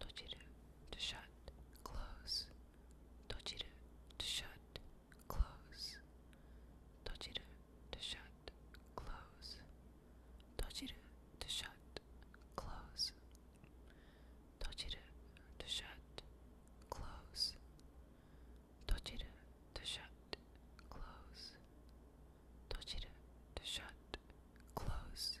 Tochiru to shut, close. Tochiru to shut, close. Tochiru to shut, close. Tochiru to shut, close. Tochiru to shut, close. Tochiru to shut, close. Tochiru to shut, close.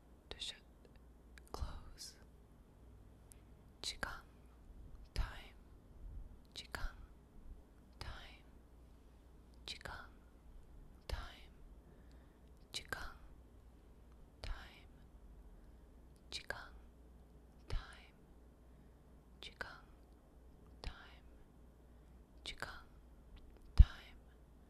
to shut, close. Chikan, time. Chikan, time. Chikan, time. Chikan, time. Chikan, time. Chikan, time. Chikan, time.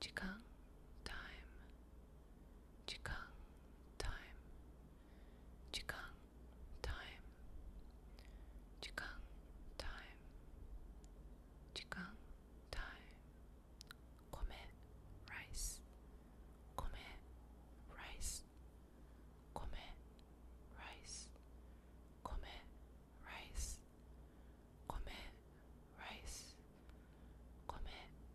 Qigong time. time. time. time. time. Kome rice. Kome rice. rice. rice. rice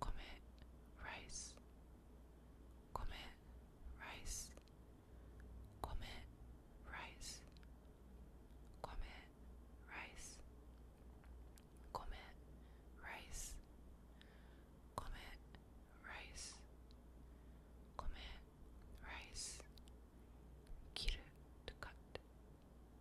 Come rice. Come rice. Come rice. Come rice. Come rice. Come rice. Come rice. cut.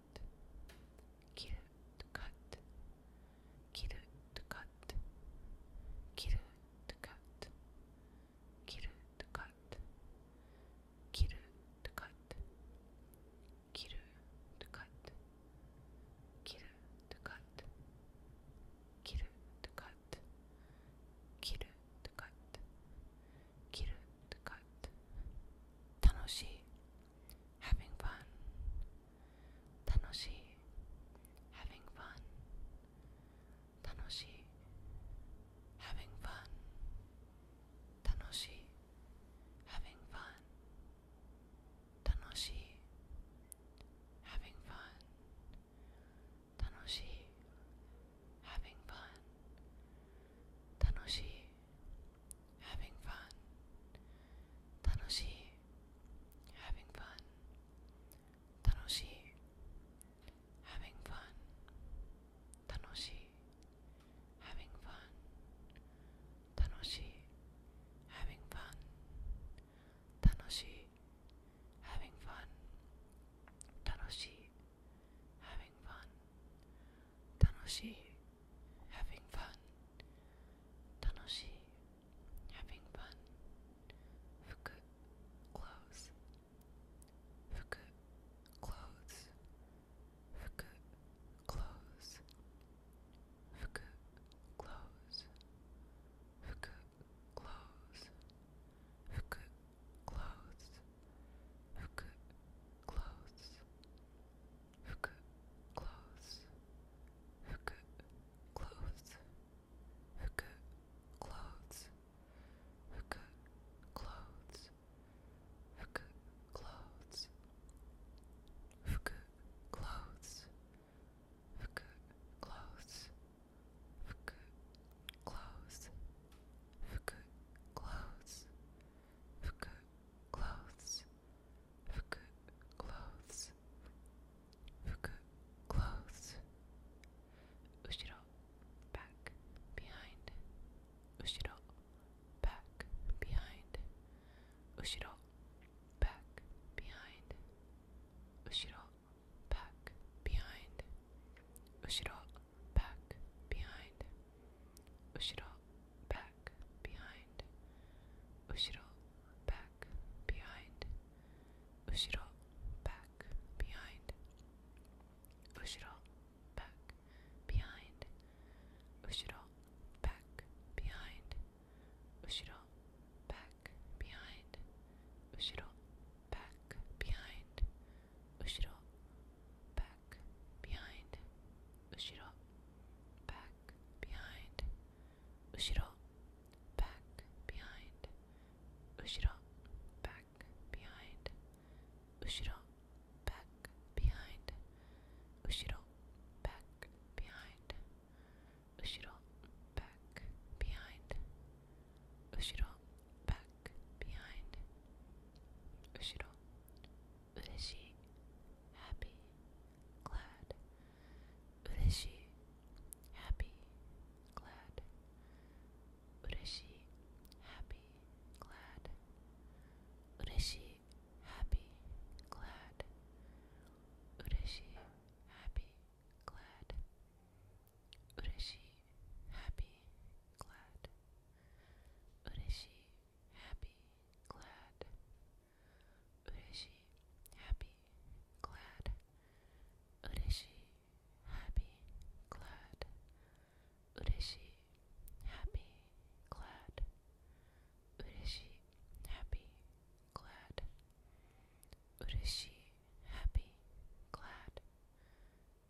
cut, kirut cut, kirut cut, kirut cut, kirut cut, kirut cut, kirut cut, kirut cut, kirut cut, kirut cut. 切るとかって楽しい having fun 楽しい having fun 楽しい having fun 楽しい having fun 楽しい having fun 楽しい having fun 楽しい having fun having fun. 楽しい having fun. 楽しい having fun. 楽しい having fun. 楽しい having fun. 楽しい having fun. 楽しい having fun. Tanoshi, having fun. Tanoshi, having fun. Fuku, clothes. Fuku, clothes. Fuku, clothes. Fuku, clothes. Fuku, clothes hook clothes, hook clothes, hook clothes, hook clothes, hook clothes, hook clothes, hook clothes, hook clothes, hook clothes Fuku clothes. Fuku clothes. Fuku clothes. Ushiro back behind. Ushiro back behind. Ushiro back behind. Ushiro back behind. Ushiro back, behind. Ushiro, back, behind. Ushiro, back, behind. Ushiro, back, behind. Ushiro, back, behind. Ushiro, back, behind. Ushiro, back, behind. Ushiro, back, behind. Ushiro, back, behind. Ushiro, back, behind. back, behind. back, behind. back, behind. back, behind. back, behind. back, behind. Ureshi, happy, glad. Ureshi, happy, glad. Ureshi, happy, glad. Ureshi, happy, glad. Ureshi, happy, glad. Ureshi, happy, glad. Ureshi, happy, glad. Ureshi, happy, glad. Ureshi, happy, glad. Ureshi, happy, glad. Ureshi, happy, glad. Ureshi, happy, glad.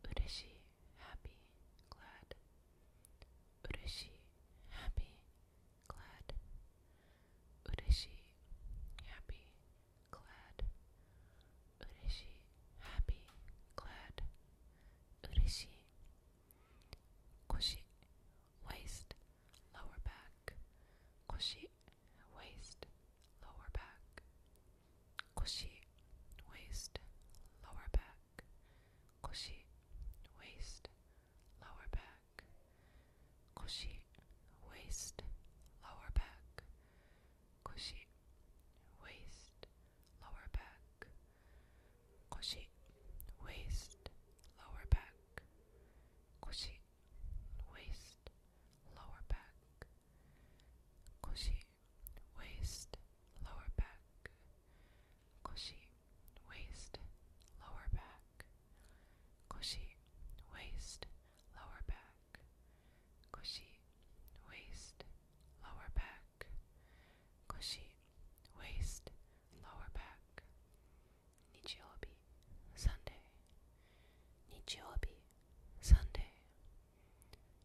Ureshi, happy, glad. Ureshi, happy, glad. Ureshi, happy, glad. Ureshi, happy, glad. Ureshi. Koshi, waist, lower back. Koshi, waist, lower back. Koshi, waist, lower back back, koshi, waist, lower back, koshi, waist, lower back, koshi, waist, lower back, koshi, waist, lower back, koshi, waist, lower back, koshi, waist, lower back. Koshi, waist, lower back. Koshi, waist, lower back. Koshi, waist, lower back. Koshi, waist, lower back. Nichiobi, Sunday. Nichiobi, Sunday.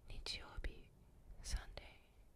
Nichiobi, Sunday.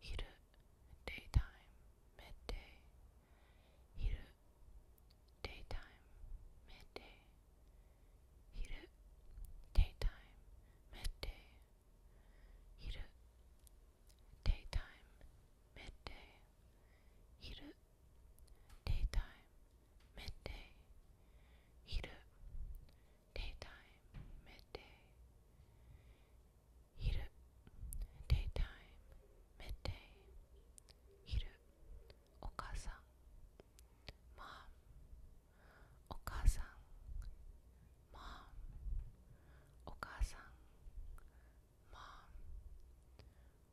昼 daytime daytime midday 昼 daytime midday 昼 daytime midday 昼 daytime midday 昼 daytime midday 昼 daytime, midday. Hiru, daytime, midday. Hiru, okasan, mom, okasan, mom, okasan, mom,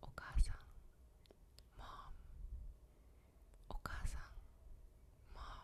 okasan, mom, okasan, mom.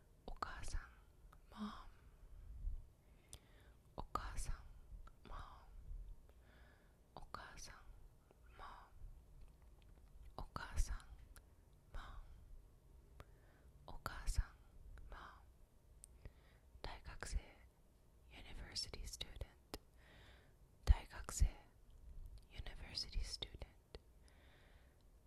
Okasan, mom. Okasan, mom. Okasan, mom. Okasan, mom. Okasan, mom. Daigakse, university student. Daigakse, university student.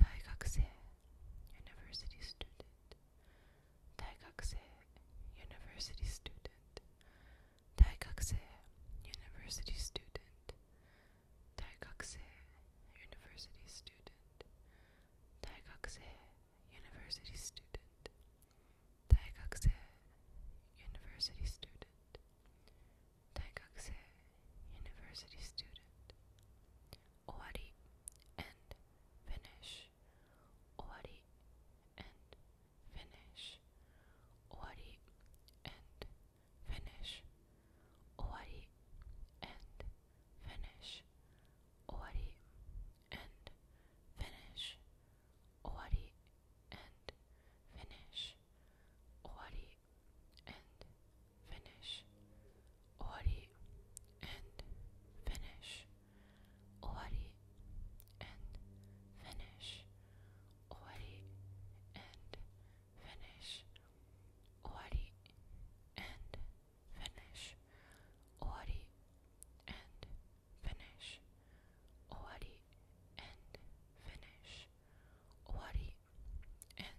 Daigakse, university student. Daigakse, university student. Daigakse, university student. Daigakse, university student. Daigakse, university student. Daigakse, university student. Daigakse, university student. Owari, end, finish. Owari, end, finish. Owari, end, finish. Owari, end, finish. Owari, end, finish. Owari, end, finish. Owari, and finish. Ori and finish. Ori and finish. Ori and finish. Ori and finish. Ori and finish. Ori and finish. Ori and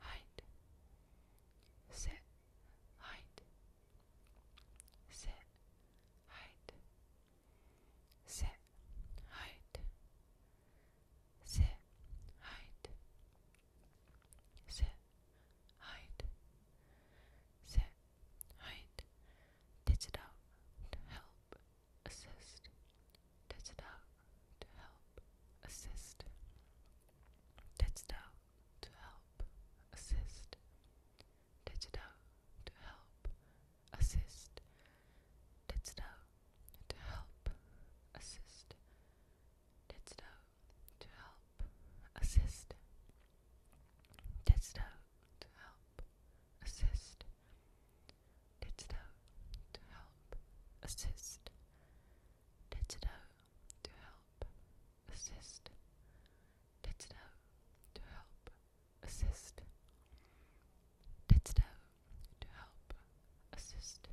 height, sit, height, sit, height, sit, height, sit, height, sit, height, sit, height, ditch to help assist, ditch to help assist. Digital to help assist. Digital to help assist. Digital to help assist. Digital to help assist. Digital to help assist. Digital to help assist. Digital to help assist. let to help assist. let to help assist.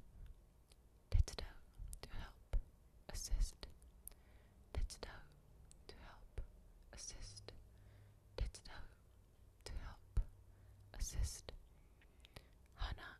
let to help assist. let to help assist. let to help assist. Hannah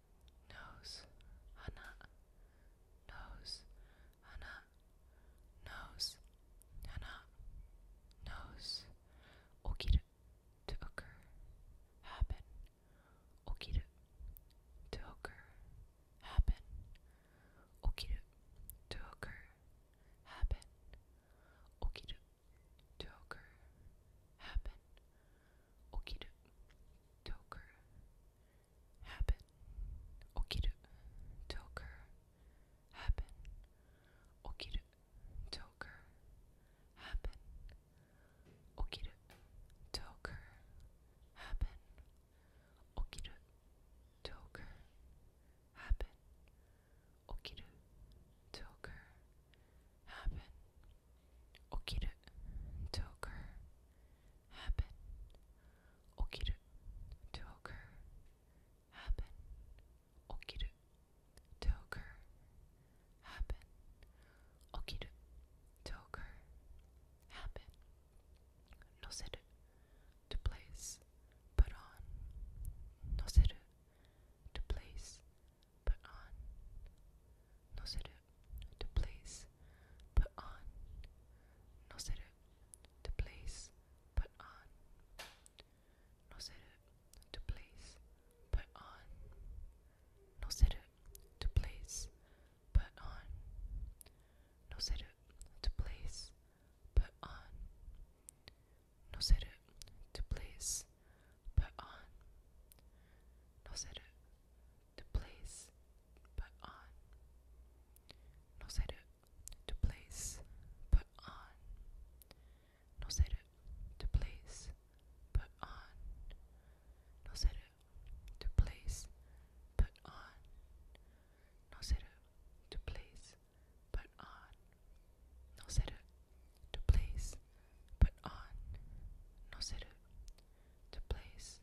nose, hana, nose, hana, nose, hana, nose, to occur, happen, to occur, happen, to occur, happen, to occur, happen, to occur, happen okiru toker happen okiru toker happen okiru toker happen happen, okiru, to occur, happen, okiru, to occur, happen, okiru, to occur, happen, noseru, to place, put on, noseru, to place, put on, noseru, to place, put on. No seru, to place, put on. No seru, to place, put on. No seru, to place, put on. No seru, to place, put on. No seru, to place, put on. No seru, to place, put on. No say it. to place, put on. No say to, to place, put on. No say to, to place, put on. No say to, to place, put on. No say to, to place,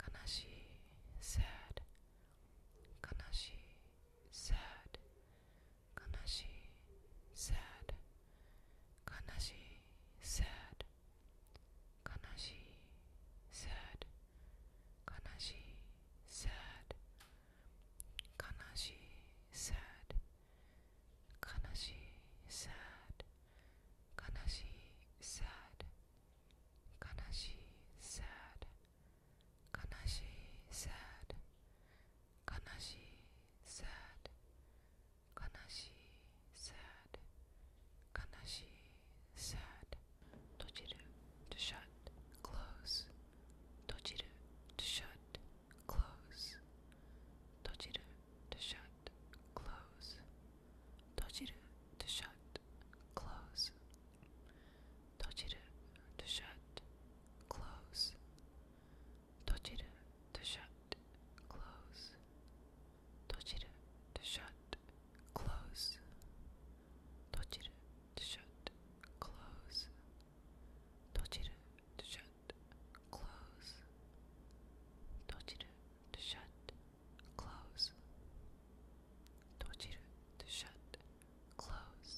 悲しい sad 悲しい sad 悲しい sad sad sad sad sad sad 悲しい sad 悲しい sad 悲しい sad 悲しい sad 悲しい sad 悲しい sad 閉じる to shut close 閉じる to shut close 閉じる to shut shut, close. Tojiru to shut, close. Tojiru to shut, close. Tojiru to shut, close. Tojiru to shut, close. Tojiru to shut, close. Tojiru to shut, close. Tochiru to shut, close. Tochiru to shut, close.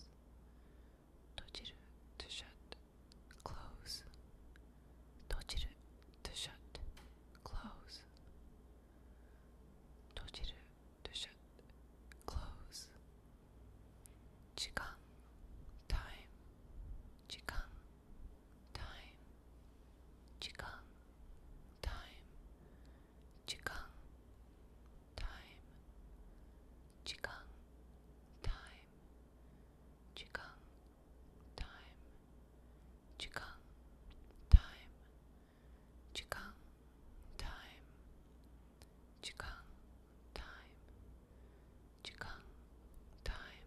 Tochiru to shut, close. Tochiru to shut, close. Tochiru to shut, close. Chikan, time. Chikan, time chikan time chikan time chikan time chikan time chikan time chikan time chikan time chikan time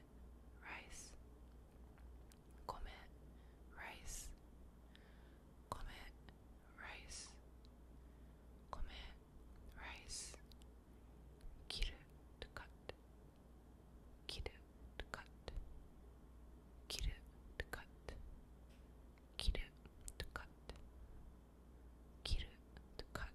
rice come rice come rice come rice kiru to cut kiru to cut kiru to cut kiru to cut kiru to cut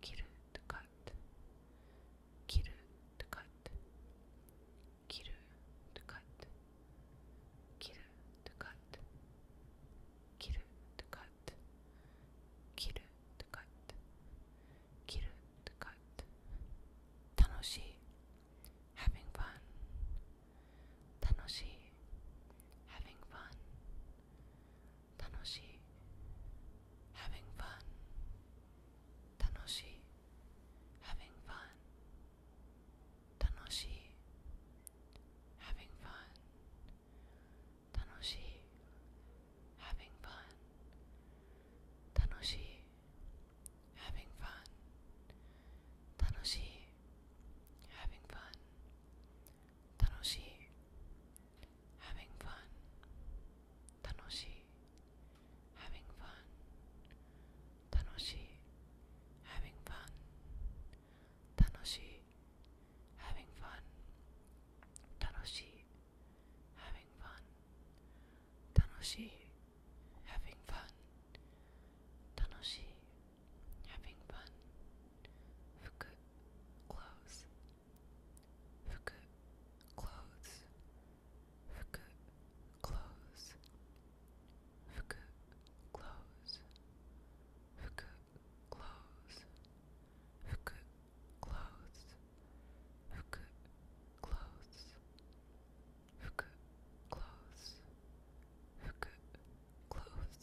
切るとかって切るとかって切るとかって切るとかって切るとかって切るとかって切るとかって楽しい having fun 楽しい having fun 楽しい having fun having fun having fun having fun having fun having fun having fun having fun, tanoshi, having fun, tanoshi, having fun, tanoshi, having fun, tanoshi, having fun, tanoshi, having fun, tanoshi, having fun, fuku, Fuku clothes. Fuku clothes. Fuku clothes. Fuku clothes. Fuku clothes. Fuku clothes. Fuku clothes. Fuku clothes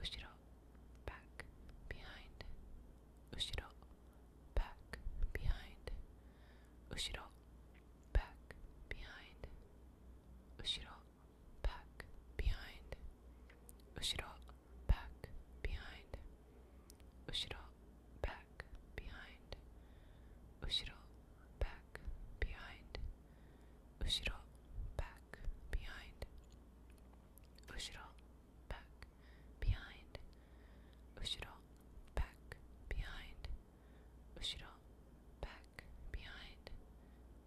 Ushiro, back, behind. Ushiro, back, behind. Ushiro, back, behind. Ushiro, back, behind. Ushiro, back, behind. Ushiro, back, behind. Ushiro, back, behind. Ushiro, back, back, behind. Ushiro, back, behind. Ushiro, back, behind. Ushiro, back, behind.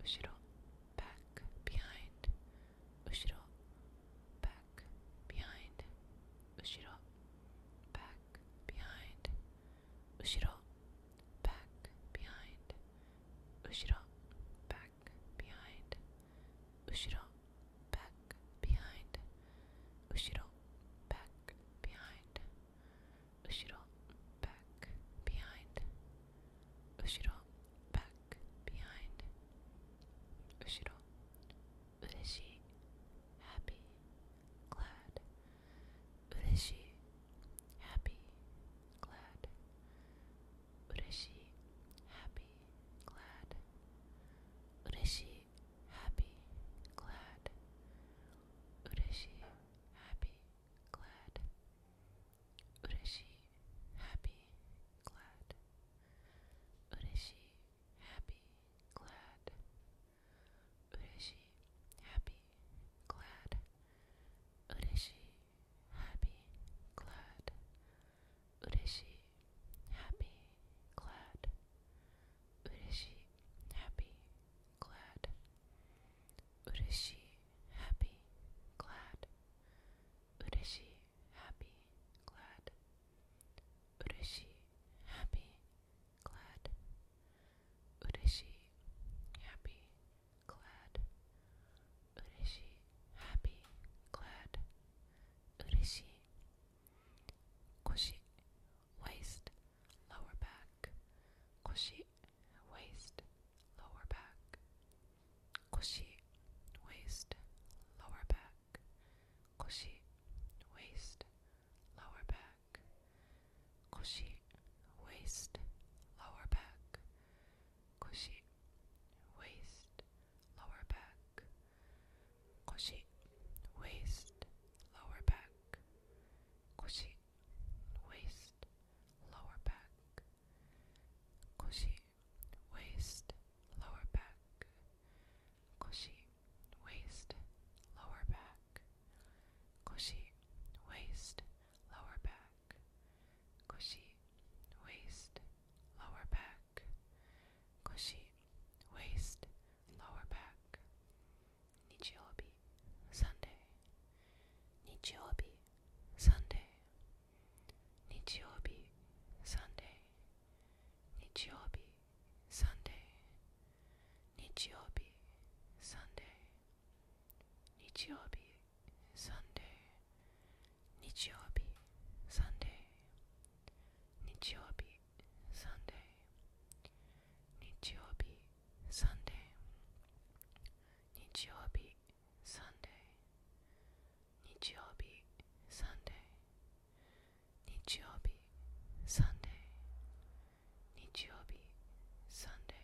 Ushiro, back, behind. Ushiro, back, behind. Ushiro, back, behind. Ushiro, back, behind. back behind. Ushiro, back, behind. Ushiro, back, behind. Ushiro, back, behind. Ushiro, back, behind. Ushiro, ureshi, happy, glad. Ureshi, happy, glad. Ureshi, happy, glad. Ureshi, happy, glad. Ureshi, happy, glad. Ureshi, happy, glad. Ureshi, happy, glad. Ureshi, happy, glad. Ureshi, happy, glad. Ureshi, happy, glad. Ureshi, happy, glad. Ureshi, happy, glad. Ureshi, happy, glad. Ureshi, happy, glad. Ureshi, happy, glad happy glad koshi waist lower back waist lower back waist lower back waist lower back waist lower back 腰 waist lower back 腰 waist lower back 腰 waist lower back 腰 waist lower back 腰 waist lower back 腰 waist lower back Cushy waist, lower back. Cushy waist, lower back. Nichiobi, Sunday. Nichiobi, Sunday. Nichiobi, Sunday. Nichiobi, Sunday. Nichiobi, Sunday. Nichiobi, Sunday, Nichiobi, Sunday, Nichiobi, Sunday, Nichiobi, Sunday, Nichiobi, Sunday, Sunday, Sunday, Sunday.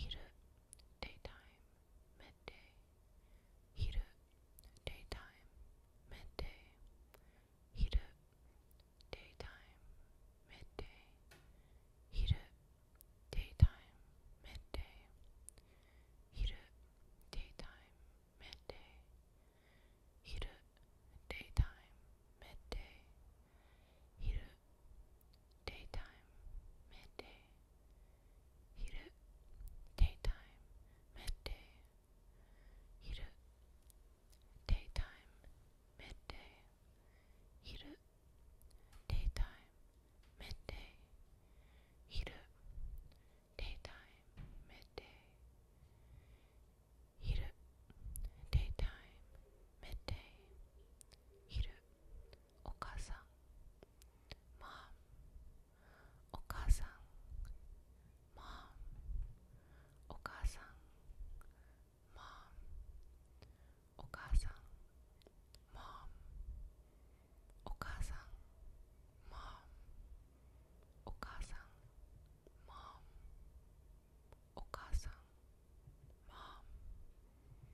昼 daytime midday hiru daytime midday hiru daytime midday hiru daytime midday hiru daytime midday hiru daytime midday hiru daytime, midday, hiru, daytime, midday, hiru, daytime, midday, hiru, daytime, midday, hiru, daytime, midday, hiru, daytime, midday, hiru. お母さんマーお母さんマーお母さんマーお母さんマーお母さんマーお母さんマーお母さんマー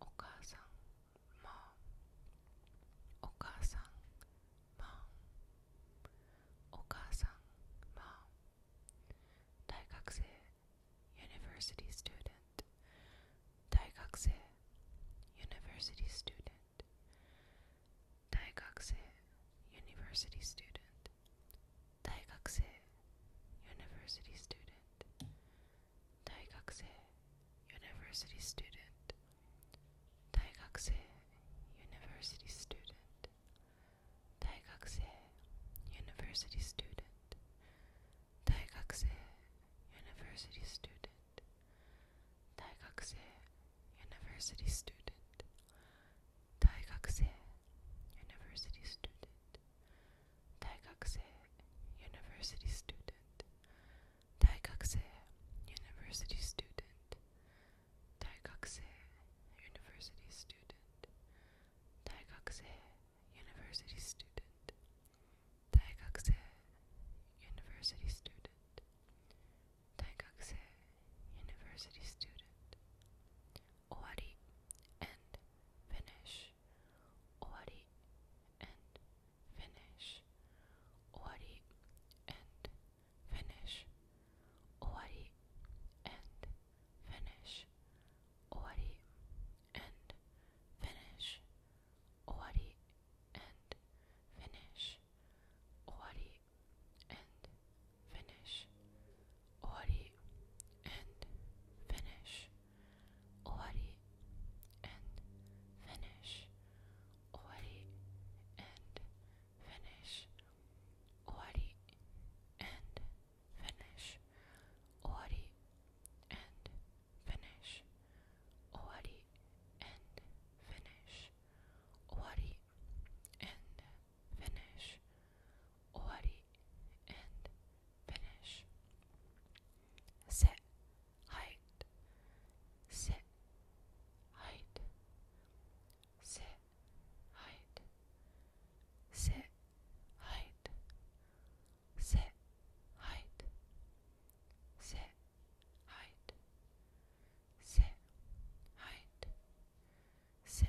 お母さん、mom お母さん、mom お母さん、mom 大学生 university student 大学生 university student 大学生 university student 大学生 university student 大学生大学生 university student 大学生 university student 大学生 university student 大学生 university student 大学生 university student 大学生 university student 大学生 university student 大学生 Daigakse, university student. Daigakse, university student. Daigakse, university student. Daigakse, university student. Daigakse, university student. Owari and finish. Owari and finish, ori, and finish, ori, and finish, ori, and finish, ori, and finish. Ori and finish. Ori and finish. Ori and finish. Ori and finish. Ori and finish. Ori and finish sit, height, sit, height, sit, height, sit, height, sit, height, sit, height, sit, height, sit.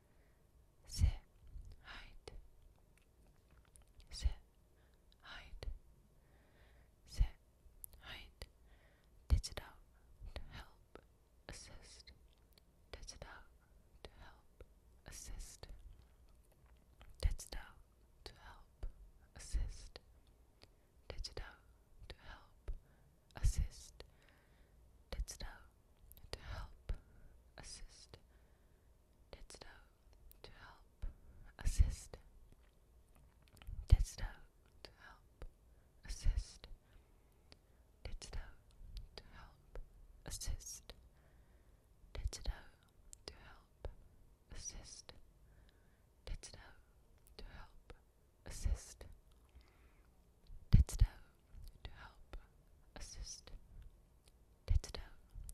Sit. hide se hide se hide Ditch to help assist Ditch to help assist Ditch to help assist Ditch to help assist, that's thou, to help, assist, that's thou, to help, assist, that's thou, to help, assist, that's thou, to help, assist, that's thou, to help, assist, that's thou, to help, assist. Tetsudo to help assist. Tetsudo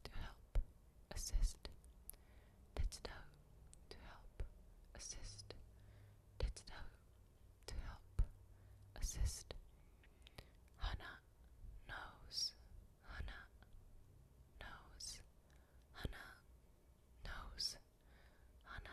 to help assist. Tetsudo to help assist. Tetsudo to help assist. Hana knows. Hana knows. Hana knows. Hana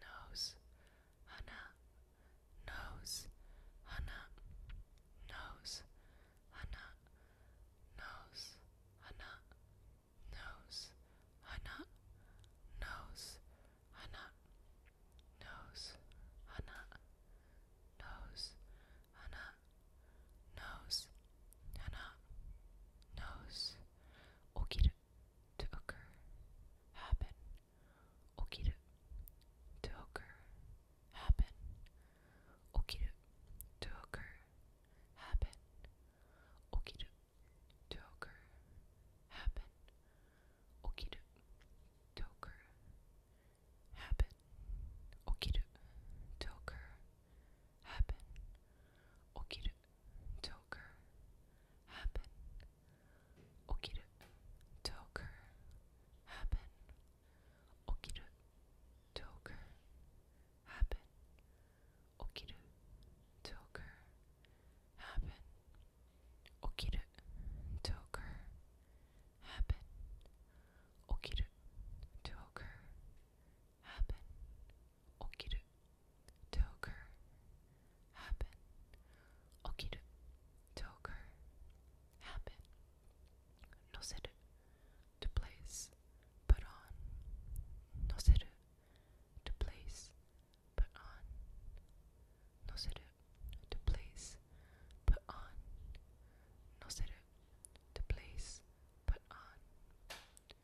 nose, hana, nose, hana, nose, hana, nose, hana, nose, hana, nose, hana, nose, hana, nose, hana, nose, hana, nose, 起きる to occur, happen, okiru, to occur, happen, occur, happen, occur, happen, occur, happen, occur, happen, okiru, Toker happen. Okiru Toker happen. Okiru Toker happen. Okiru Toker happen. Okiru Toker happen okiru occur happen occur happen noseru to place put on noseru to place put on noseru to place put on noseru to place put on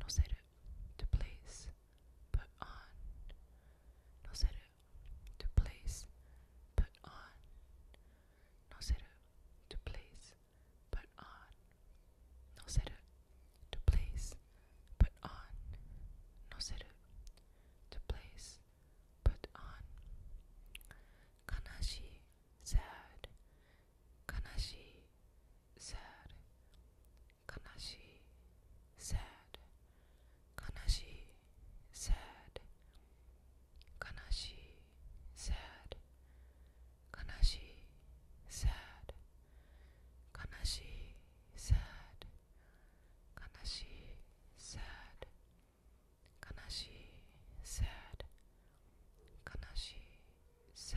No será to place put on. No será to place put on. No será to place put on. No será to place put on. No será to place put on. Kanashi sad. Kanashi sad. 悲しい sad 悲しい sad 悲しい sad 悲しい sad 悲しい sad 悲しい sad 悲しい sad 悲しい sad 悲しい sad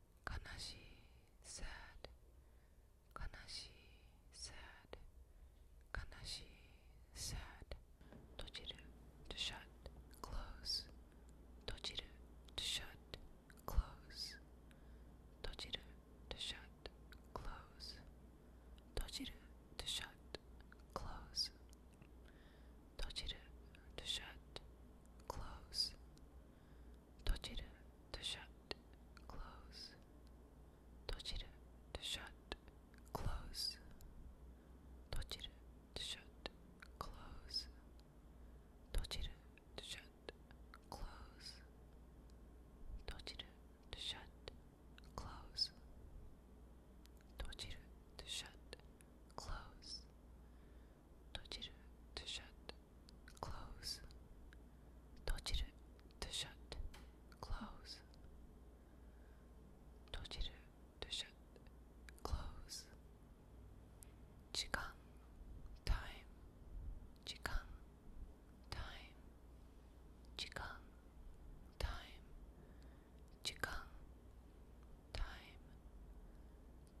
悲しい sad 悲しい sad 悲しい sad to shut close 閉じる to shut close 閉じる to shut close to shut to shut close Tochiru to shut, close. Tochiru to shut, close. Tochiru to shut, close. Tochiru to shut, close. Tochiru to shut, to shut, close. Tojiru to shut, close. Tojiru to shut, close. Tojiru to shut, close. Chikan, time. Chikan, time. Chikan, time. Chikan, time.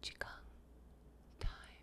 Chikan, time.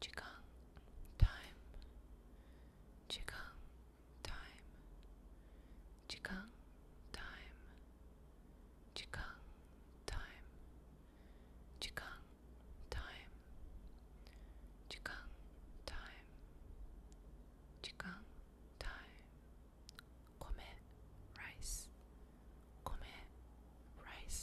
Qigong time. Qigong time. Qigong time. Qigong time. Qigong time. Qigong time. Qigong time. rice. rice.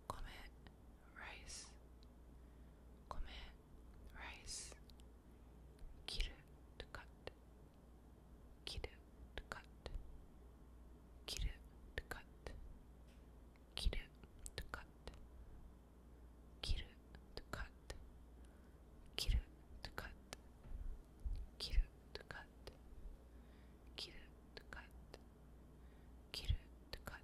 Comet rice. Comet rice. Kiru to cut. Kiru to cut. Kiru to cut. Kiru to cut. Kiru to cut. Kiru to cut. Kiru to cut. Kiru to cut. Kiru to cut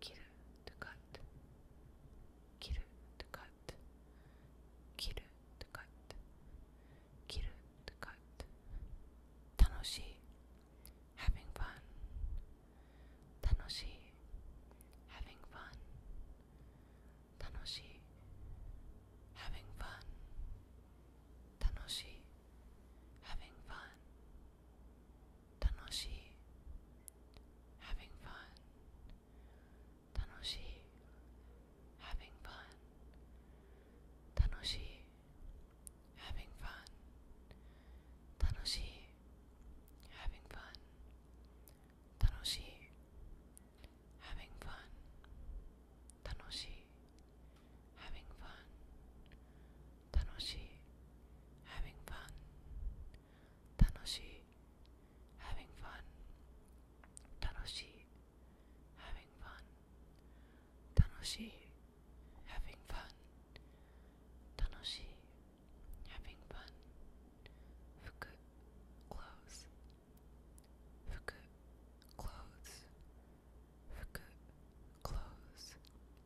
切る to cut 切る to cut 切る to cut 切る to cut 楽しい having fun 楽しい having fun 楽しい having fun 楽しい having fun 楽しい having fun having fun. Tanoshi, having fun. Tanoshi, having fun. Tanoshi, having fun. Tanoshi, having fun. Tanoshi, having fun. 楽しい having fun 楽しい having fun 楽しい having fun 楽しい having fun 服 clothes 服 clothes 服 clothes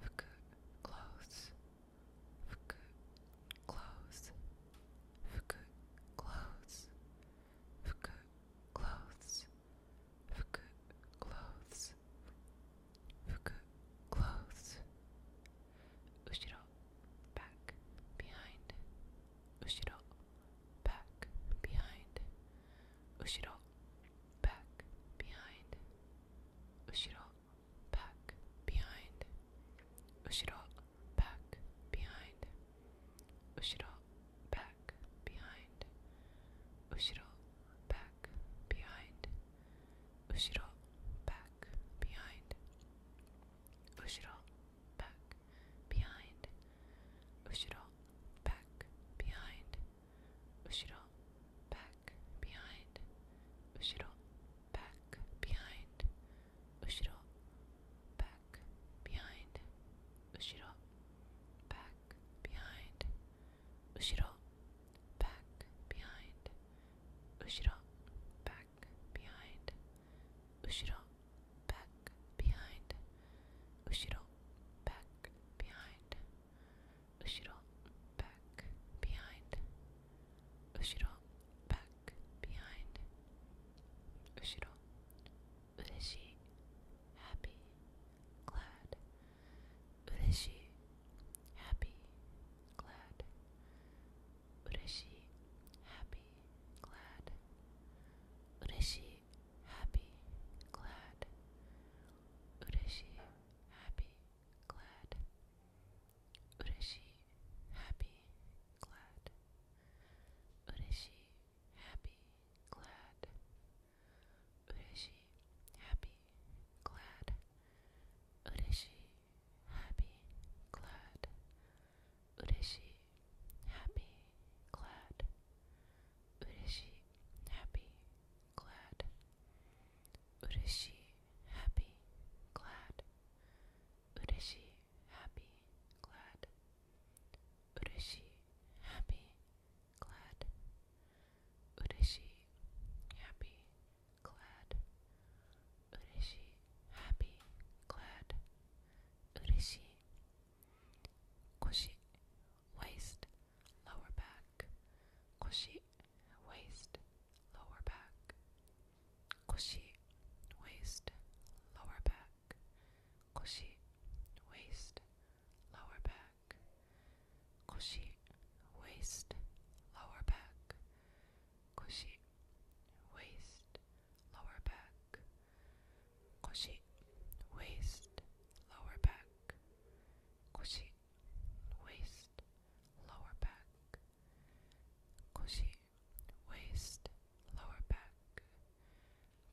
Fuku, close. Fuku, close. Fuku, close. Fuku, close. Fuku, close. Fuku, close. Ushiro, back, behind. Ushiro, back, behind. Ushiro, back, behind. back, behind. back, behind. back, behind. back, behind. back, behind. back, behind. back, behind. Ushiro, back, behind. Ushiro, back, behind. Ushiro, back, behind. Ushiro, back, behind. Ushiro, back, behind. Ushiro, back, behind. Ushiro, back, behind. Ushiro, back, behind. Ushiro, back, behind. Ushiro, back, behind. Ushiro, ureshi, happy, glad. Ureshi, happy, glad. Ureshi, happy, glad. Ureshi, happy, glad. Ureshi, happy, glad. Ureshi, happy, glad. Ureshi, happy, glad. Ureshi, happy, glad. Ureshi, happy, glad. Ureshi, happy, glad. Ureshi, happy, glad. Ureshi, happy, glad. Ureshi, happy, glad. Ureshi, happy, glad. Ureshi, happy, glad. Ureshi, happy, glad. Ureshi. Koshi, waist lower back, koshi, waist, lower back, koshi, waist, lower back, koshi, waist, lower back, koshi, waist, lower back, koshi, waist, lower back, koshi, waist, lower back, koshi, waist, lower back. Koshi, waist, lower back.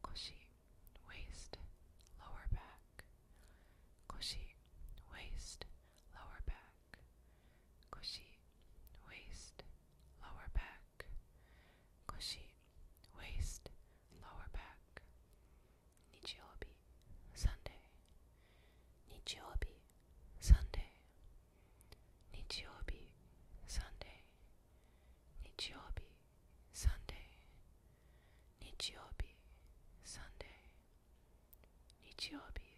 Koshi, waist, lower back. Koshi, waist, lower back. Koshi, waist, lower back. Koshi, waist, lower back. Nichiobi, Sunday. Nichiobi, Sunday. Nichiobi, Sunday. Sunday. Sunday. Sunday.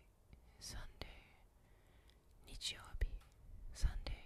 Sunday.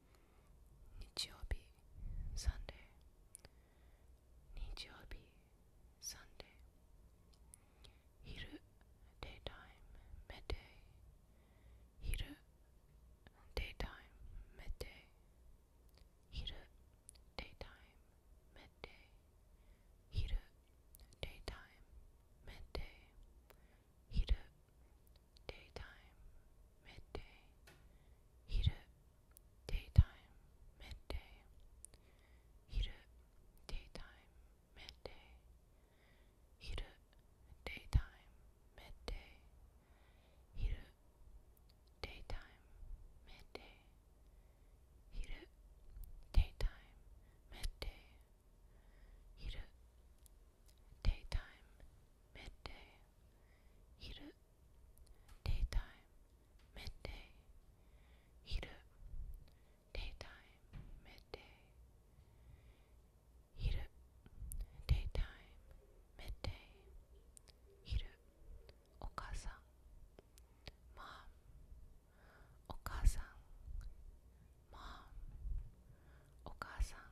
日曜日サンデー日曜日サンデー昼 daytime midday 昼 daytime midday daytime midday daytime midday daytime midday daytime, midday, heat up, daytime, midday, heat up, daytime, midday, heat up, daytime, midday, heat up, daytime, midday, heat up, daytime, midday, heat up, Daytime, midday, hiru. Daytime, midday, hiru. Daytime, midday, hiru. Daytime, midday, hiru. Okasan, mom. Okasan, mom. Okasan,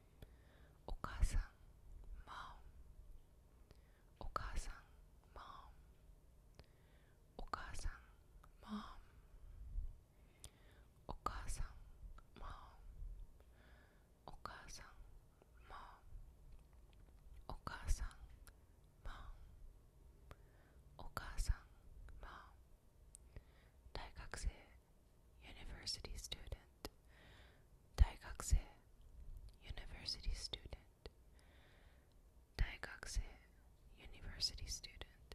お母さん mom お母さん mom お母さん mom お母さん mom お母さん mom お母さん mom お母さん mom 大学生 University student. Daigakse. University student. Daigakse. University student.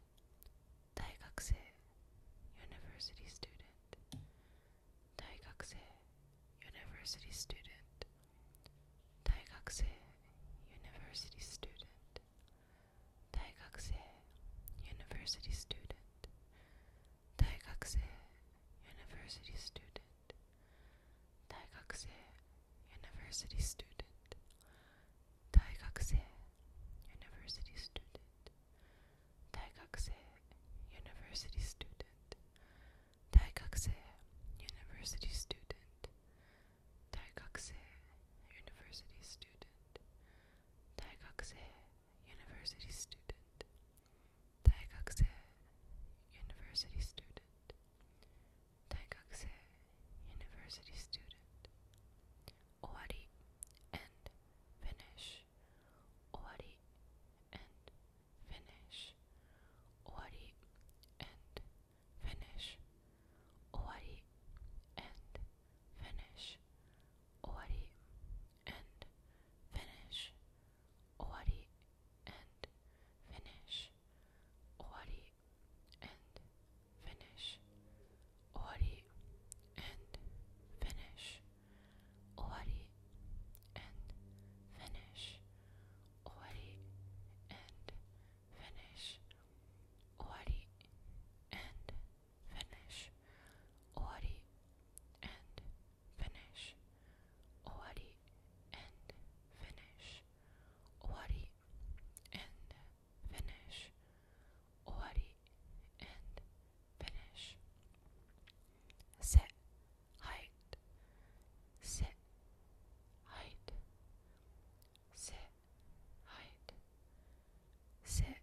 Daigakse. University student. Daigakse. University student. Daigakse. University student. Daigakse. University student. 大学生 university student 大学生 university student 大学生 university student 大学生 university student 大学生 university student 大学生 university student 大学生 university student university student, Daigakse, university student, Daigakse, university student. Owari, end, finish. Owari, end, finish. Owari, end, finish. Owari, end, finish. Owari, and finish. Owari and finish. Owari and finish. Owari and finish. Owari and finish. Owari and finish. Owari and finish, ori, and finish, ori, and finish, ori, and finish, ori, and finish. Sit, height, sit, height, sit, height, sit,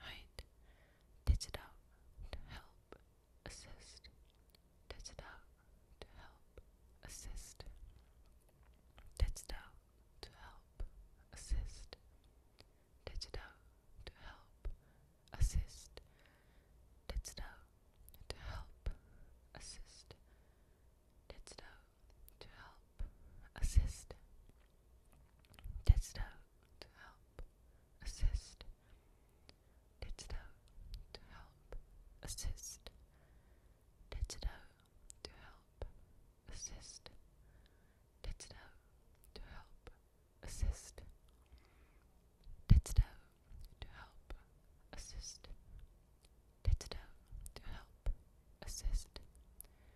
Right? Tits to help assist. Tits to help assist. Tits to help assist. Tits to help assist. Tits to help assist. Didst thou to help assist? Didst thou to help assist? Didst thou to help assist? Didst thou to help assist? Didst thou to help assist? Didst thou to help assist?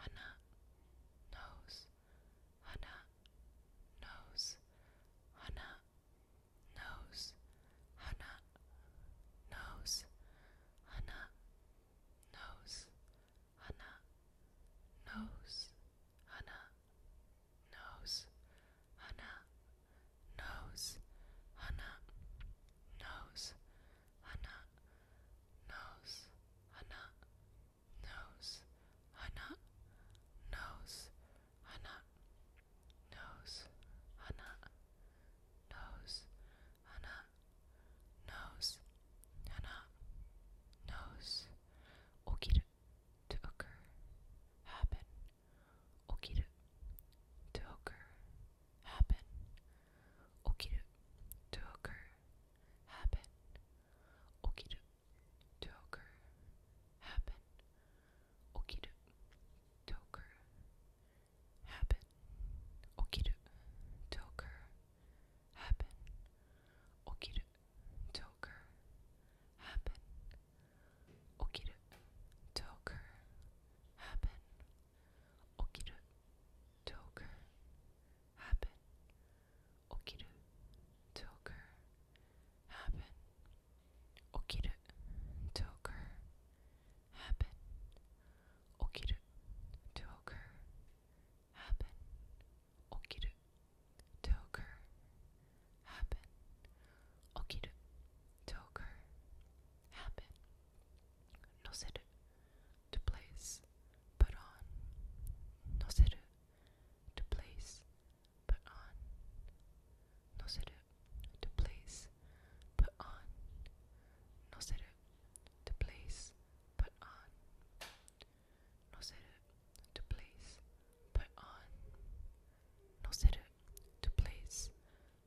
Hana knows. Hana knows. Hana knows. Hana knows. Hana knows. Hana knows. Hana knows. Hana knows. Hana nose, hana, nose, hana, nose, hana, nose, hana, nose, hana, nose, hana, nose, okiru, to occur, happen, okiru, to occur, happen, okiru, to occur, happen. Okido to occur, happen. Okido to occur, happen. Okido to Toker happen. Okiru. Toker happen. Okiru. Toker happen. Okiru. Toker happen. Okiru. Toker happen. Okiru. Toker happen. 乗せる to place, put on. Noseru, to place, put on. Noseru, to place, put on. Noseru, to place, put on. Noseru, to place, put on. Noseru, to place,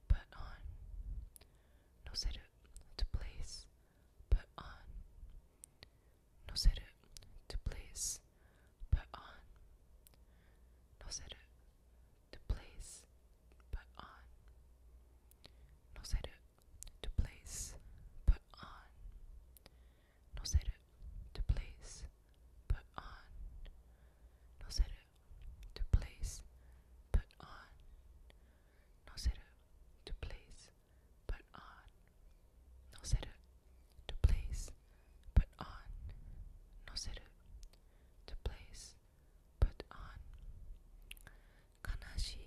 put on. Noseru, to place, put on. it to place, put on. Noseru, to place, put on. Noseru, to place, put on. Noseru, to place, put on. Noseru, to place, put on. Noseru, to place, put on. No seru. To place, put on. No seru. To place, put on. Kanashi,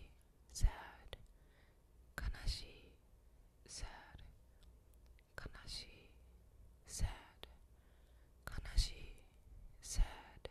sad. Kanashi, sad. sad. sad.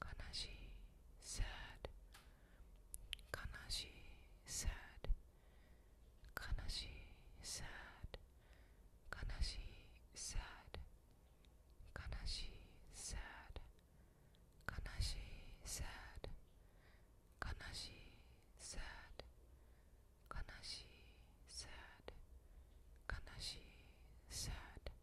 悲しい sad 悲しい sad 悲しい sad sad sad sad sad sad sad